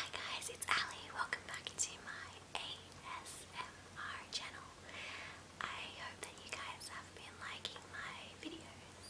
Hi guys, it's Ali. Welcome back to my ASMR channel. I hope that you guys have been liking my videos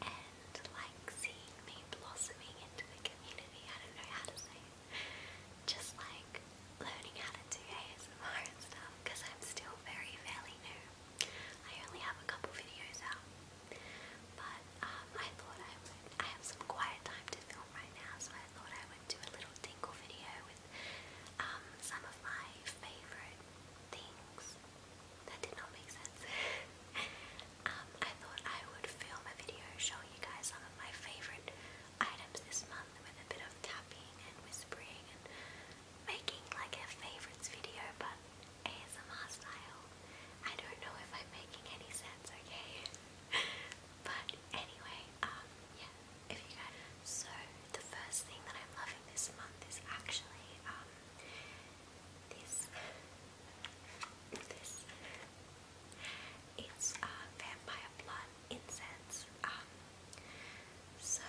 and like seeing me blossoming into the community. I don't know how to say it. Just like learning how to do ASMR and stuff because I'm still very very new. I only have a couple videos out. But um, I thought I would, I have some quiet time to film right now, so I thought I would do a little tinkle video with um, some of my favourite things. That did not make sense. Um, I thought I would film a video showing you guys some of my favourite items this month with a bit of tapping and whispering and making like a favourites video but ASMR style. I don't know if I'm making any sense, okay? but anyway, um, yeah, So, the first thing that I'm loving this month is actually, um, this. this. It's, uh, Vampire Blood Incense. Um, so,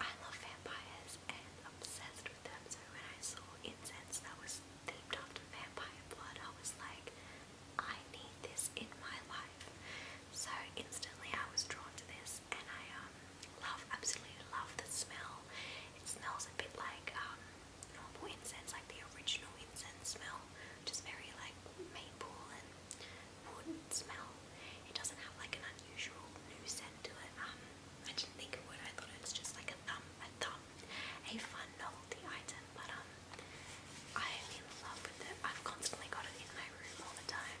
I love vampires and obsessed of them. So when I saw incense that was themed after vampire blood, I was like, I need this in my life. So instantly I was drawn to this, and I um love absolutely love the smell. It smells a bit like um normal incense, like the original incense smell, which is very like maple and wood smell. It doesn't have like an unusual new scent to it. Um, I didn't think it would. I thought it was just like a thumb, a thumb, a fun novelty item. But um, I am in love with it. I've constantly got it in my room all the time.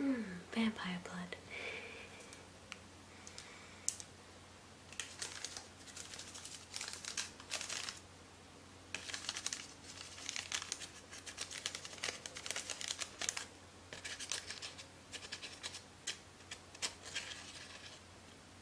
Mmm, vampire blood.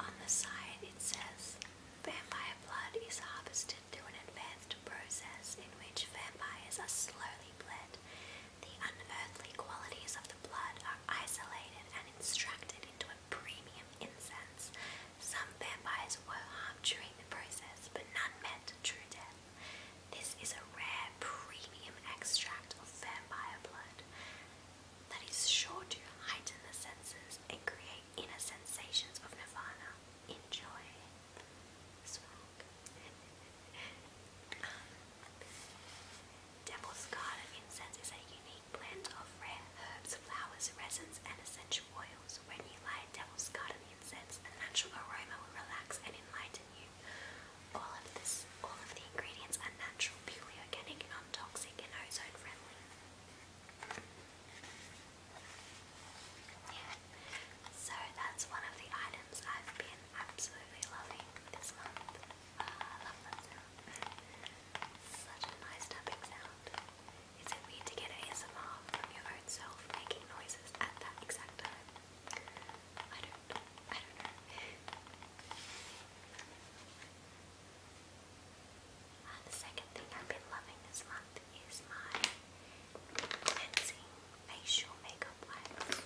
On the side it says, Vampire blood is harvested through an advanced process in which vampires are slowly bled. The unearthly qualities of the blood are isolated and extracted into a premium incense. Some vampires were harmed during the process, but none met true death. This is a rare premium extract of vampire blood that is sure to heighten the senses and create inner sensations of nirvana. Enjoy. Smoke. Devil's Garden incense is a unique blend of rare herbs, flowers, resins, and essential oils. When you light Devil's Garden incense, the natural aroma will relax and enlighten you. All of this, all of the ingredients are natural, purely organic, non-toxic, and ozone-friendly. Yeah, so that's one of the items I've been absolutely loving this month. Ah, Such a nice tapping sound. Is it weird to get ASMR from your own self making noises at that exact time? I do ah, the second thing I've been loving this month is my cleansing facial makeup wipes.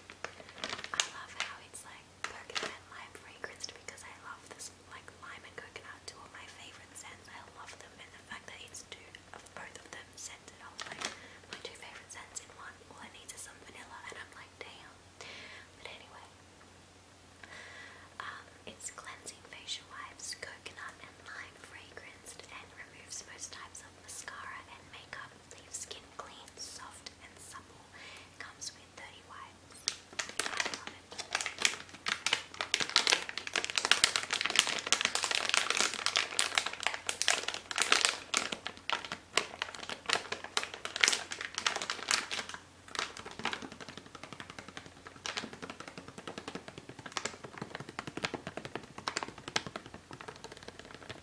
I love how it's like coconut and lime fragranced because I love this like lime and coconut, two of my favorite scents. I love them and the fact that it's two of both of them scented are like my two favorite scents in one. All I need is some vanilla and I'm like damn. But anyway. Um, it's cleansing facial wipes, coconut and lime fragranced and removes most types of mascara and makeup leaves skin clean, soft, and supple. comes with 30 wipes.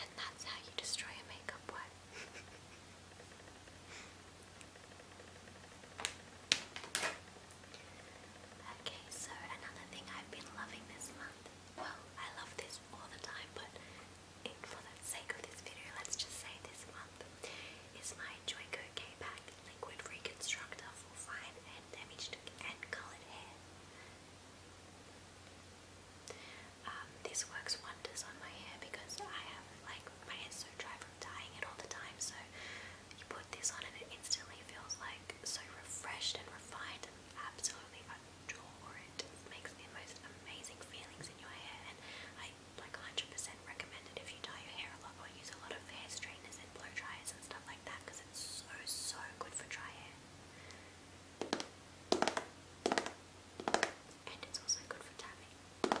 And that's how you destroy a makeup wipe. okay, so another thing I've been loving this month. Well, I love this all the time, but it, for the sake of this video, let's just say this month is my Joico k Liquid Reconstructor for fine damaged and coloured hair. Um, this works wonders on my hair because I have like my hair's so dry from dying it all the time. So you put this on and it instantly feels like so refreshed and refined and absolutely adore it. It makes the most amazing feelings in your hair and I like 100% recommended if you dye your hair a lot or use a lot of hair straighteners and blow dryers and stuff like that because it's so, so good for dry hair. And it's also good for tapping.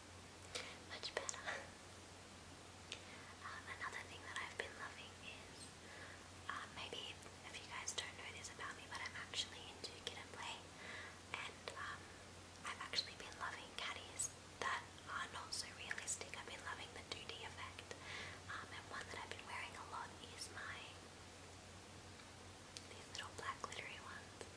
Much better. Um, another thing that I've been loving is um, maybe if you guys don't know this about me, but I'm actually into kid and play, and um, I've actually been loving caddies that are not so realistic. I've been loving the 2D effect, and one that I've been wearing a lot is my these little black glittery ones.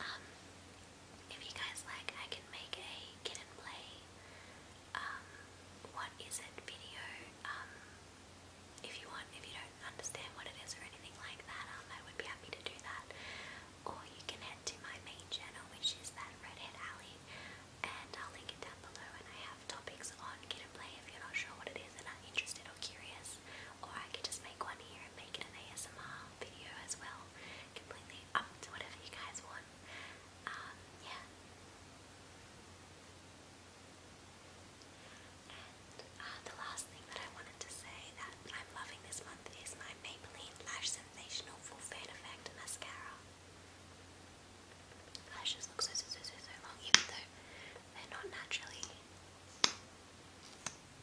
Um, if you guys like, I can make a kid and play, um, what is it video, um, if you want, if you don't understand what it is or anything like that, um, I would be happy to do that. Or you can head to my main channel, which is that Redhead Alley, and I'll link it down below. And I have topics on Kid and Play if you're not sure what it is and are interested or curious. Or I could just make one here and make it an ASMR video as well. Completely up to whatever you guys want. Um, yeah. And uh, the last thing that I wanted to say that I'm loving this month is my Maybelline Lash Sensational Full Fan Effect Mascara. Lashes look so, so, so, so, so long even though they're not naturally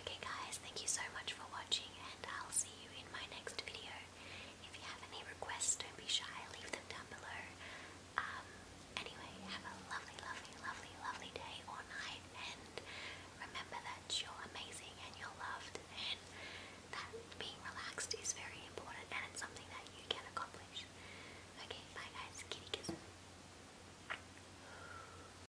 Okay guys, thank you so much for watching and I'll see you in my next video. If you have any requests, don't be shy, leave them down below. Um, anyway, have a lovely, lovely, lovely, lovely day or night and remember that you're amazing and you're loved and that being relaxed is very important and it's something that you can accomplish. Okay, bye guys, kitty kisses.